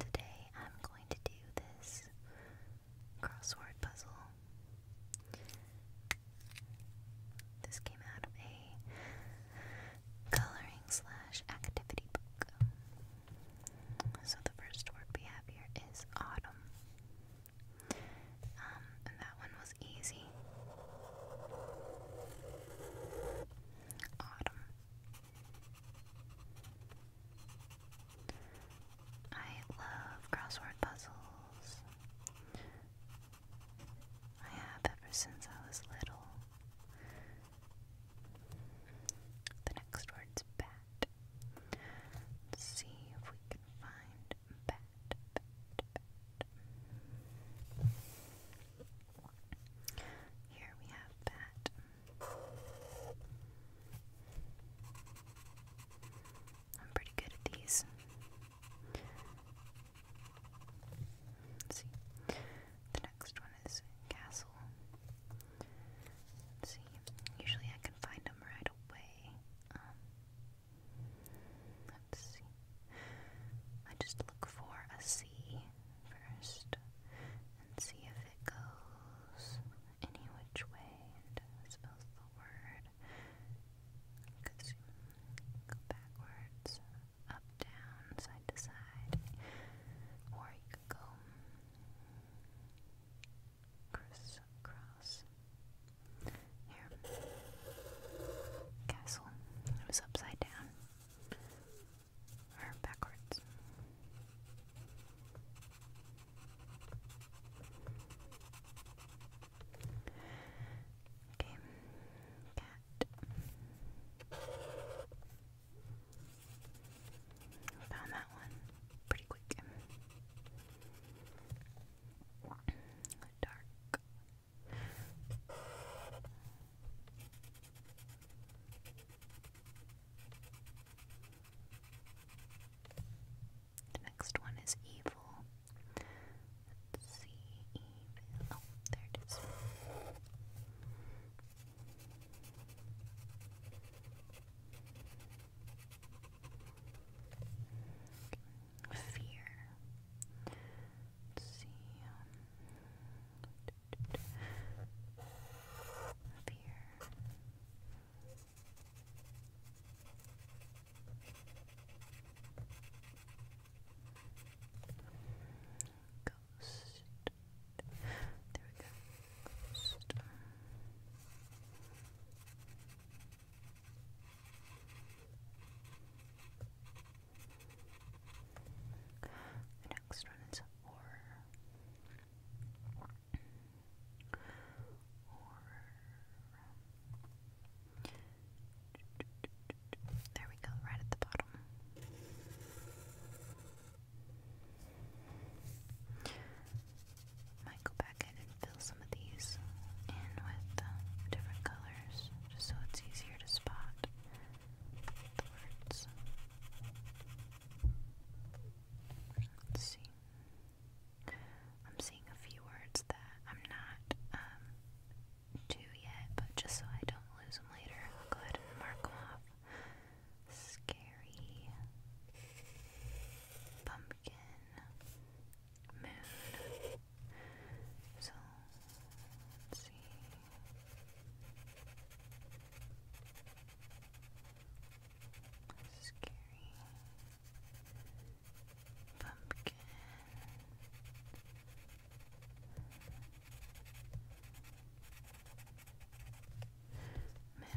Today I'm going to do this crossword puzzle. This came out of a coloring slash activity book. So the first word we have here is autumn. Um, and that one was easy. Autumn. I love crossword puzzles. I have ever since I was little. The next word's bat. Let's see if we can find bat, Here we have bat. I'm pretty good at these. see. The next one is castle. Let's see. Usually I can find them right away. Um, let's see. I just look for a C first and see if it goes any which way and spells the word. Could see, go backwards, up, down, side to side, or you could go crisscross. Here. Castle. It was upside down. Or backwards. Okay. Cat. Found that one pretty quick. Dark. The next one is evil. Let's see, evil. Oh, there it is. Fear. Let's Fear. Ghost. There we go. Um, the next one is horror. There we go, right at the bottom. Might go back and fill some of these in with uh, different colors just so it's easier to spot the words. Let's see. I'm seeing a few words that I'm not um, yet, but just so I don't lose them later, go ahead and mark them off. Scary Pumpkin Moon. So Scary Pumpkin Moon.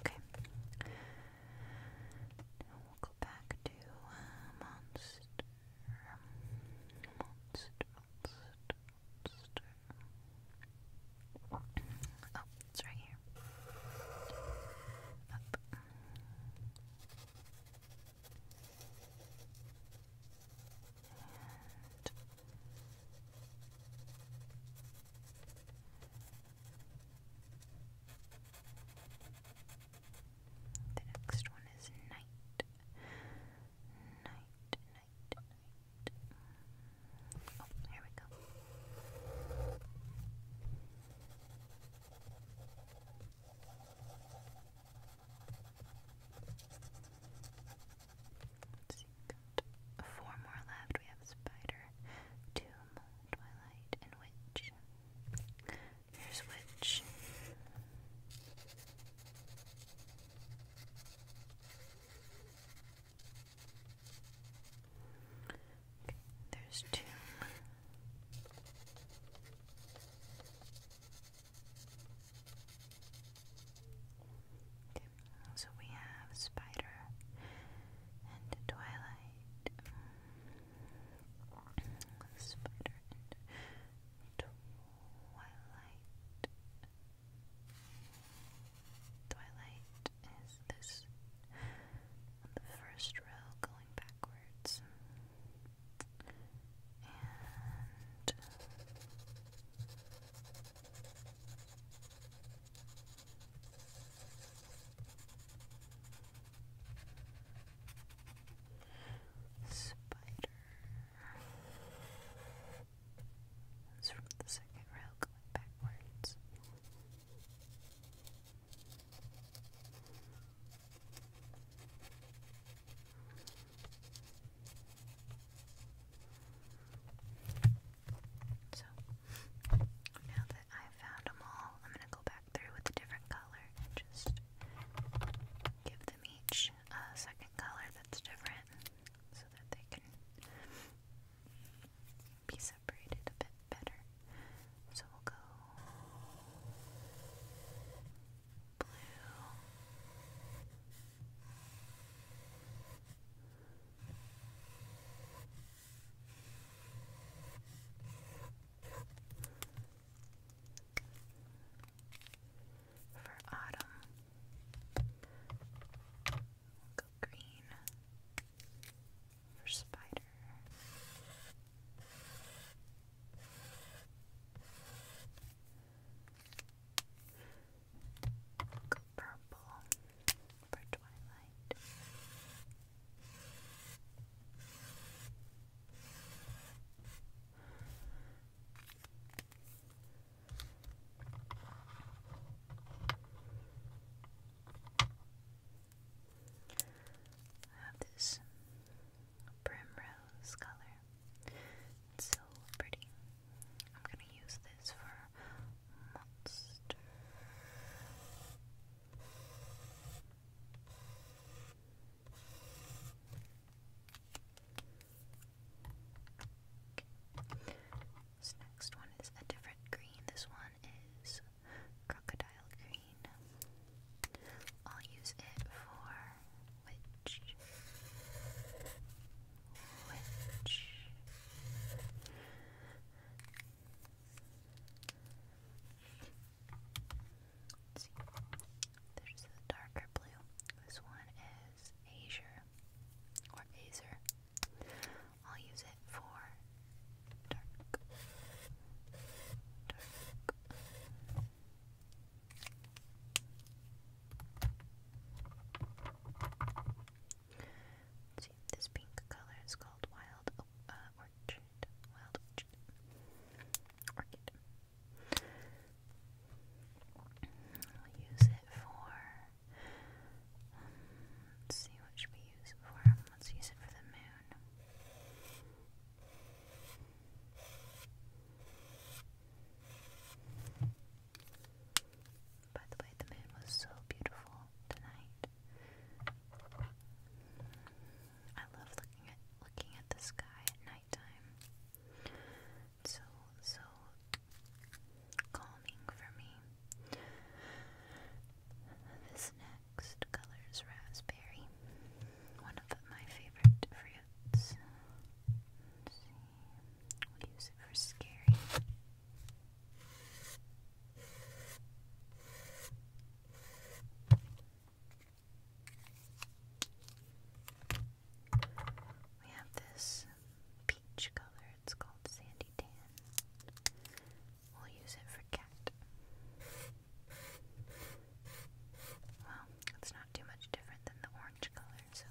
Okay. we'll go back to monster. Uh, monster, monster, monster. Oh, it's right here. Up. And the next one is night. Night, night, night. Oh, here we go four more left. We have Spider, Tomb, Twilight, and Witch. Here's Witch. There's two. Okay. So we have Spider and Twilight. Spider and Twilight. Twilight is this the first row going backwards. And spider. That's from the second row going backwards. So now that I've found them all, I'm gonna go back through with a different color and just give them each a second color that's different so that they can be separated a bit better. So we'll go blue. For autumn, we'll go green for spider. purple for twilight. I have this primrose color. It's so pretty. I'm gonna use this for monster. This next one is a different green. This one is crocodile green. I'll use it for which which There's the darker blue. This one is azure or azer. I'll use it for dark. this pink color is called Wild o uh, Wild Orchard. Orchid. I'll use it for let's see, what should we use for? Let's use it for the moon. By the way, the moon was so beautiful tonight. I love looking at looking at the sky at nighttime. so so calming for me. This next color is raspberry, one of my favorite fruits. we'll use it for scary. We have this peach color. It's called Sandy Tan. We'll use it for cat. Well, it's not too much different than the orange color, so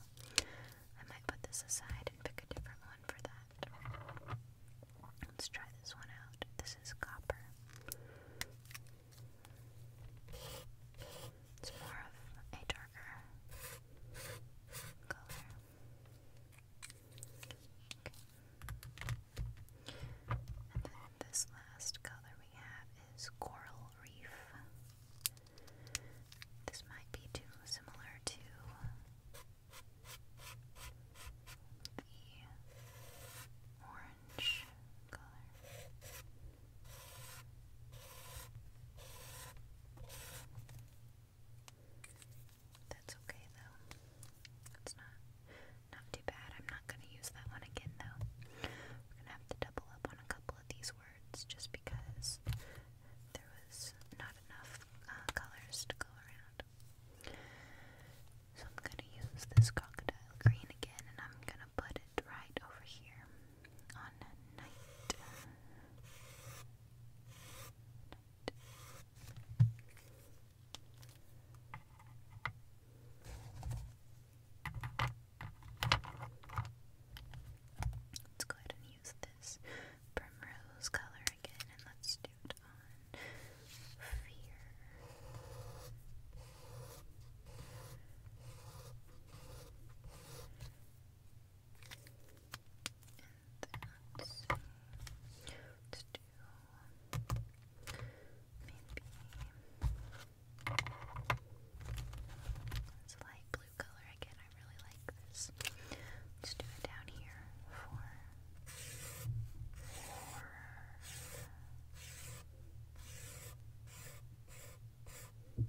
I might put this aside and pick a different one for that. Let's try this one out. This is copper. It's more of a darker color. Okay. And then this last color we have is Coral Reef. This might be too similar to the orange color. That's okay though. It's not not too bad. I'm not gonna use that one again though. We're gonna have to double up on a couple of these words just because there was not enough uh, colors to go around. So I'm gonna use this crocodile green again and I'm gonna put it right over here on a Let's go ahead and use this primrose color again, and let's do it on fear let's do maybe it's a light blue color again. I really like this. Let's do it down here for four got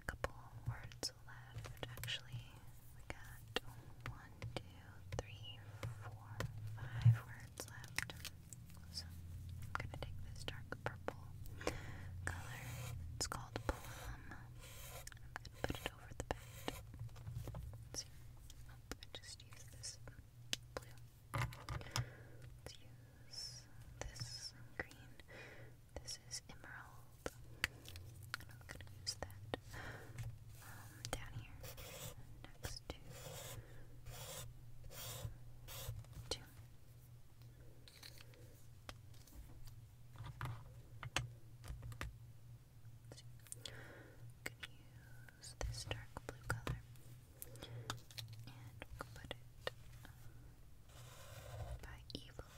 a couple words left. Actually, got one, two, three, four, five words left. So I'm gonna take this dark purple color. It's called plum over the just use this blue. Let's use this green. This is emerald. I'm gonna use that um, down here next to two can use this dark blue color and put it um, by evil.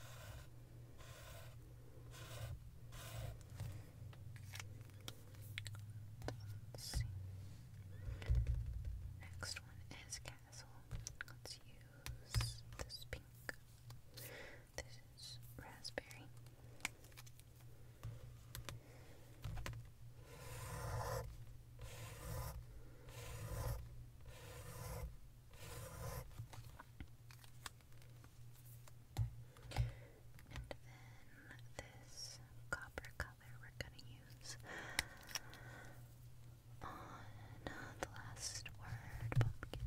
Next one is castle. Let's use this pink. This is raspberry. And then this copper color we're going to use on the last word, pumpkin.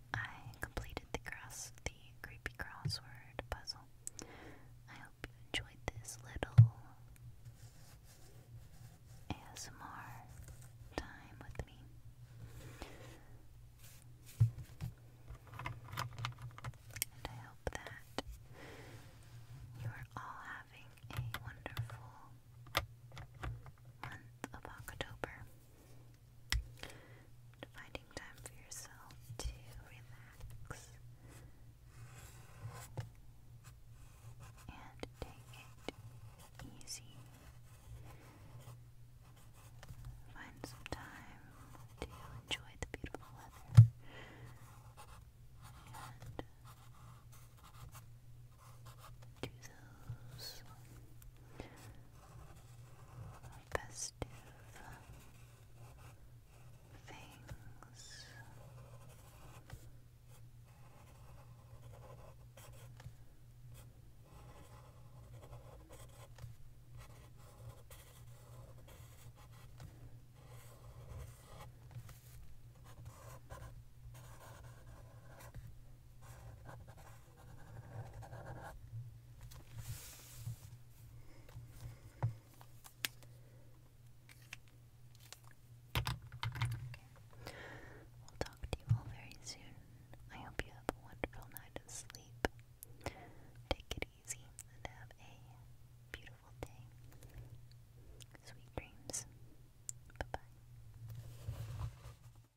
I completed the creepy crossword puzzle. I hope you enjoyed this little ASMR time with me. And I hope that you are all having a wonderful month of October. Finding time for yourself to relax and take it easy. Find some time to enjoy the beautiful weather and do those festive things. We'll talk to you all very soon. I hope you have a wonderful night of sleep. Take it easy and have a beautiful day. Sweet dreams. Bye bye.